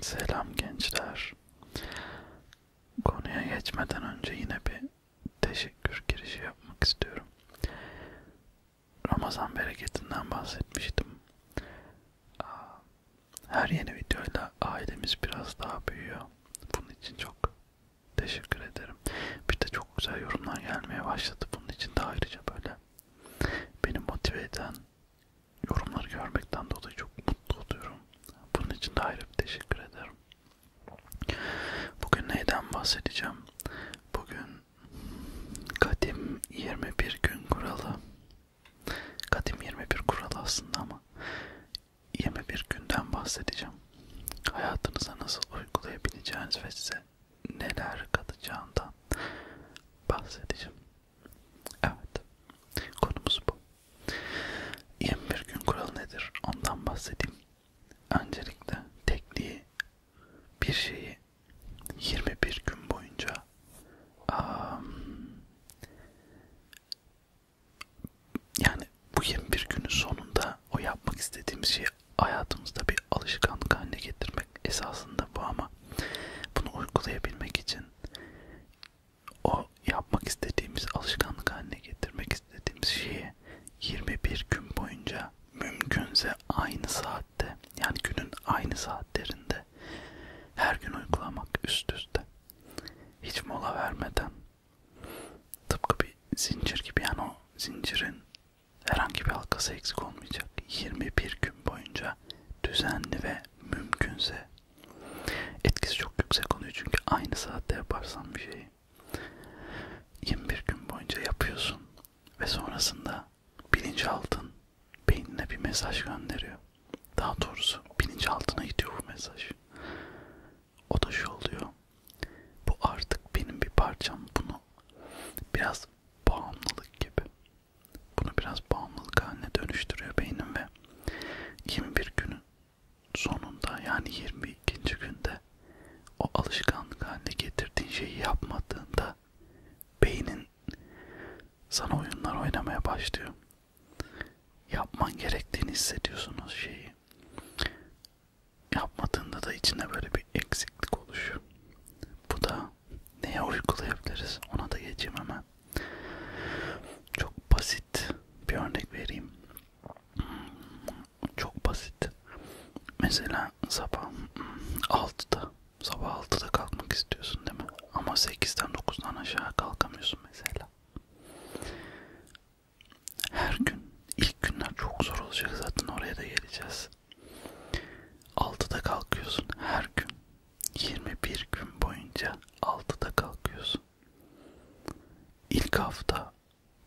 Selam gençler. Konuya geçmeden önce yine bir teşekkür girişi yapmak istiyorum. Ramazan bereketinden bahsetmiştim. Her yeni videoyla ailemiz biraz daha büyüyor. Bunun için çok teşekkür ederim. Bir de çok güzel yorumlar gelmeye başladı. Bunun için de ayrıca böyle beni motive eden yorumları görmekten dolayı çok mutlu oluyorum. Bunun için de ayrı bir teşekkür ederim. Bugün neyden bahsedeceğim? Bugün kadim 21 gün kuralı. Kadim 21 kuralı aslında ama 21 günden bahsedeceğim. Hayatınıza nasıl uygulayabileceğiniz ve size neler katacağından bahsedeceğim. Evet, konumuz bu. 21 gün kuralı nedir? Ondan bahsedeyim. Öncelikle tekliği bir şeyi 21 gün boyunca um, yani bu 21 günün sonunda o yapmak istediğimiz şeyi hayatımızda bir bir alışkanlık haline getirmek esasında bu ama bunu uygulayabilmek için o yapmak istediğimiz alışkanlık haline getirmek istediğimiz şeyi 21 gün boyunca mümkünse aynı saatte yani günün aynı saatlerinde her gün uygulamak üst üste hiç mola vermeden tıpkı bir zincir gibi yani o zincirin Herhangi bir halkası eksik olmayacak. 21 gün boyunca düzenli ve mümkünse etkisi çok yüksek oluyor çünkü aynı saatte yaparsan bir şeyi 21 gün boyunca yapıyorsun ve sonrasında bilinçaltın beynine bir mesaj gönderiyor. Daha doğrusu bilinçaltına gidiyor bu mesaj. O da şu oluyor. Bu artık benim bir parçam. Bunu biraz biraz bağımlılık gibi. Bunu biraz bağımlılık haline dönüştürüyor beynim ve 21 günün sonunda yani 22. günde o alışkanlık haline getirdiğin şeyi yapmadığında beynin sana oyunlar oynamaya başlıyor. Yapman gerektiğini hissediyorsun o şeyi yapmadığında da içinde böyle bir eksiklik oluşuyor. Bu da neye uygulayabiliriz ona da geçeyim hemen. Çok basit bir örnek vereyim. Çok basit. Mesela sabah 6'da hmm, sabah 6'da kalkmak istiyorsun değil mi? Ama 8'den 9'dan aşağı kalkamıyorsun mesela. Her gün ilk günler çok zor olacak zaten oraya da geleceğiz. 6'da kalkıyorsun her gün. 21 gün boyunca 6'da kalkıyorsun. İlk hafta,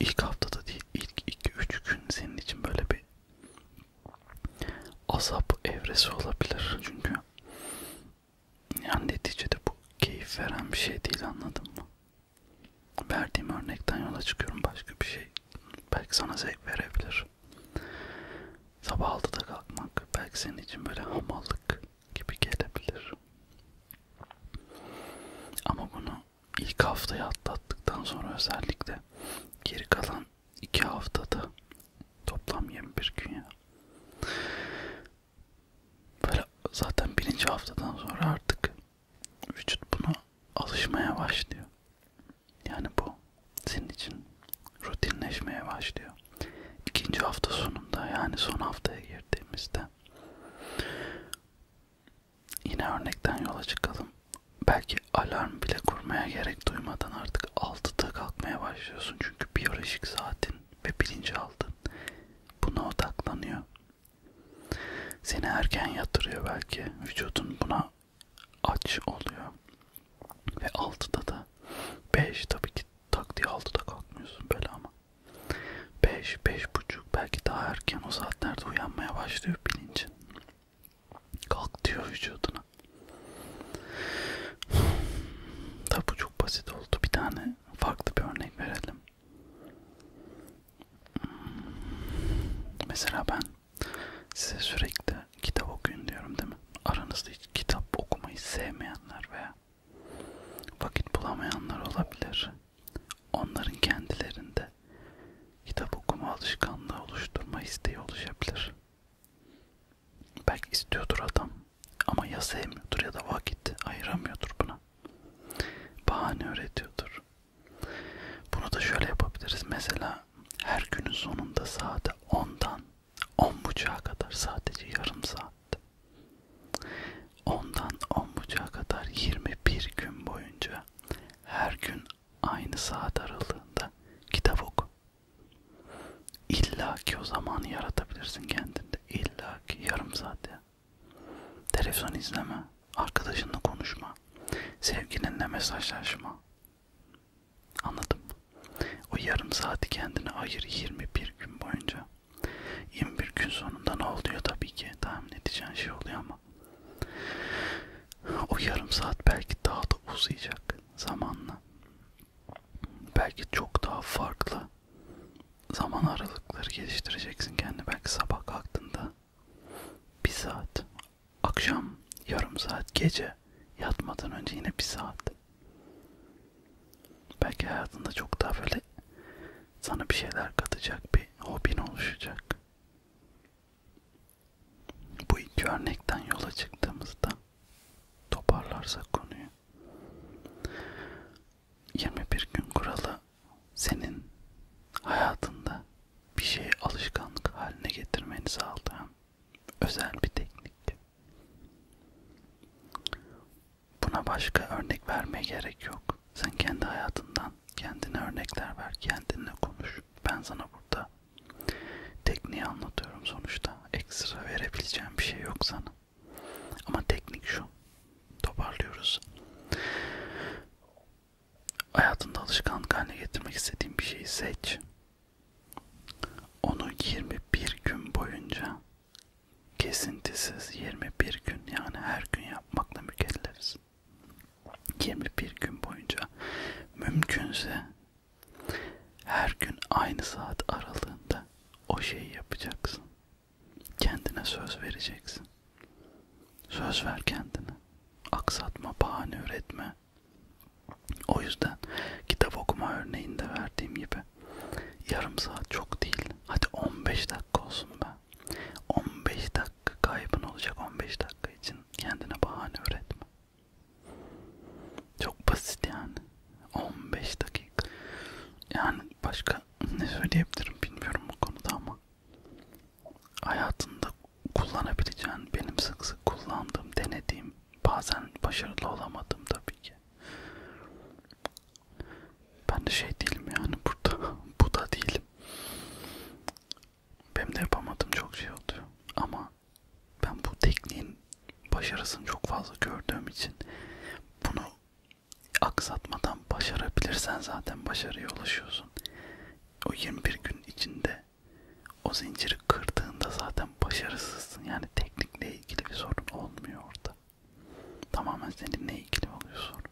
ilk haftada değil, ilk 2-3 gün senin için böyle bir azap evresi olabilir. Çünkü yani neticede bu keyif veren bir şey değil anladın mı? Verdiğim örnekten yola çıkıyorum başka bir şey. Belki sana zevk verebilir. Sabah 6'da kalkmak belki senin için böyle hamallık gibi gelebilir. Ama bunu ilk haftayı atlattıktan sonra özellikle geri kalan iki haftada toplam 21 gün ya. Böyle zaten birinci haftadan sonra artık vücut buna alışmaya başlıyor. Yani bu senin için rutinleşmeye başlıyor. İkinci hafta sonunda yani son haftaya girdiğimizde yine örnekten yola çıkalım. Belki alarm bile kurmaya gerek duymadan artık 6'da kalkmaya başlıyorsun. Çünkü biyolojik saatin ve bilinçaltın buna odaklanıyor. Seni erken yatırıyor belki. Vücudun buna aç oluyor. Ve 6'da da 5 tabii ki tak diye 6'da kalkmıyorsun böyle ama. 5, 5.30 belki daha erken o saatlerde uyanmaya başlıyor bilincin. Kalk diyor vücuduna. Tabi bu çok basit oldu. Bir tane farklı bir örnek verelim. Mesela ben size sürekli kitap okuyun diyorum değil mi? Aranızda hiç kitap okumayı sevmeyenler veya vakit bulamayanlar olabilir. Onların kendilerinde kitap okuma alışkanlığı oluşturma isteği oluşabilir. Belki istiyordur adam ama ya sevmiyordur ya da vakit ayıramıyordur buna bahane öğretiyordur. Bunu da şöyle yapabiliriz. Mesela her günün sonunda saate 10'dan 10.30'a kadar sadece yarım saat. 10'dan 10.30'a kadar 21 gün boyunca her gün aynı saat aralığında kitap oku. İlla ki o zamanı yaratabilirsin kendinde. İlla ki yarım saat ya. Televizyon izleme, arkadaşınla konuşma, sevgilinle mesajlaşma. Anladım. O yarım saati kendine ayır 21 gün boyunca. 21 gün sonunda ne oluyor tabii ki tahmin edeceğin şey oluyor ama. O yarım saat belki daha da uzayacak zamanla. Belki çok daha farklı zaman aralıkları geliştireceksin kendi belki sabah kalktığında bir saat akşam yarım saat gece yatmadan önce yine bir saat belki hayatında çok daha böyle sana bir şeyler katacak bir hobin oluşacak bu iki örnekten yola çıktığımızda toparlarsak konuyu 21 gün kuralı senin hayatında bir şeyi alışkanlık haline getirmeni sağlayan özel bir teknik. Buna başka örnek vermeye gerek yok. Sen kendi hayatından kendine örnekler ver, kendinle konuş. Ben sana burada tekniği anlatıyorum sonuçta. Ekstra verebileceğim bir şey yok sana. Ama teknik şu. Toparlıyoruz. Hayatında alışkanlık haline getirmek istediğin bir şeyi seç. Onu 21 gün boyunca kesintisiz 21 gün yani her gün yapmakla mükellefiz. 21 gün boyunca mümkünse her gün aynı saat aralığında o şeyi yapacaksın. Kendine söz vereceksin. Söz ver kendine. Aksatma, bahane üretme. O yüzden kitap okuma örneğinde verdiğim gibi yarım saat çok değil. Hadi 15 dakika olsun be. 15 dakika kaybın olacak 15 dakika için kendine bahane üretme. Çok basit yani. 15 dakika. Yani başka ne söyleyebilirim bilmiyorum bu konuda ama hayatında kullanabileceğin benim sık sık kullandığım denediğim bazen başarılı olamadım tabii ki ben de şey değilim yani burada bu da değilim benim de yapamadım çok şey oluyor ama ben bu tekniğin başarısını çok fazla gördüğüm için bunu aksatmadan başarabilirsen zaten başarıya ulaşıyorsun. O 21 gün içinde o zinciri kırdığında zaten başarısızsın. Yani teknikle ilgili bir sorun olmuyor orada. Tamamen seninle ilgili oluyor sorun.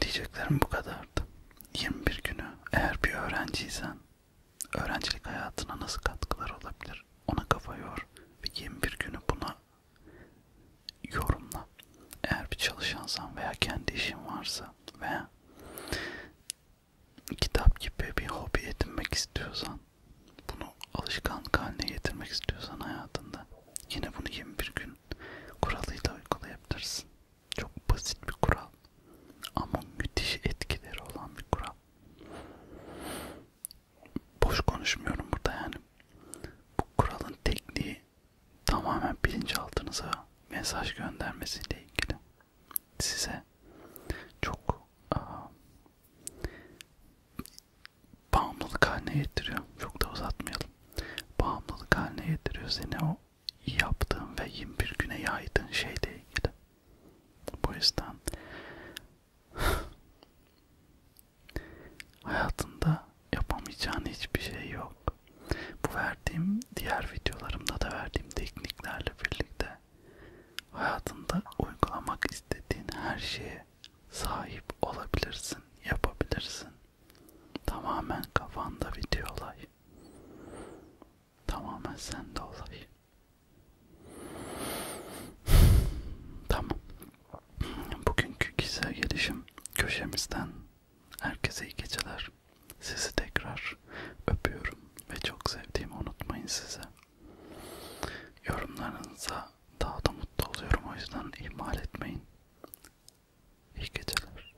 Diyeceklerim bu kadardı. 21 günü eğer bir öğrenciysen Öğrencilik hayatına nasıl katkılar olabilir? Ona kafa yor ve 21 günü buna yorumla. Eğer bir çalışansan veya kendi işin varsa veya kitap gibi bir hobi edinmek istiyorsan, bunu alışkanlık haline getirmek istiyorsan hayatında yine bunu 21 gün kuralıyla uygulayabilirsin. Çok basit bir kural ama müthiş etkileri olan bir kural. Boş konuşmuyorum burada yani. Bu kuralın tekniği tamamen bilinçaltınıza mesaj göndermesiyle ilgili. Size çok aa, bağımlılık haline getiriyor. Çok da uzatmayalım. Bağımlılık haline getiriyor seni o yaptığın ve 21 güne yaydığın şeyle ilgili. Bu yüzden hayatında yapamayacağın hiçbir şey yok. Bu verdiğim diğer videolarımda da verdiğim tekniklerle birlikte hayatında uygulamak istediğin her şeye sahip olabilirsin, yapabilirsin. Tamamen kafanda video olay. Tamamen sende olay. tamam. Bugünkü kişisel gelişim köşemizden herkese iyi geceler. Sizi tekrar öpüyorum ve çok sevdiğimi unutmayın size. Yorumlarınıza daha da mutlu oluyorum o yüzden ihmal etmeyin. İyi geceler.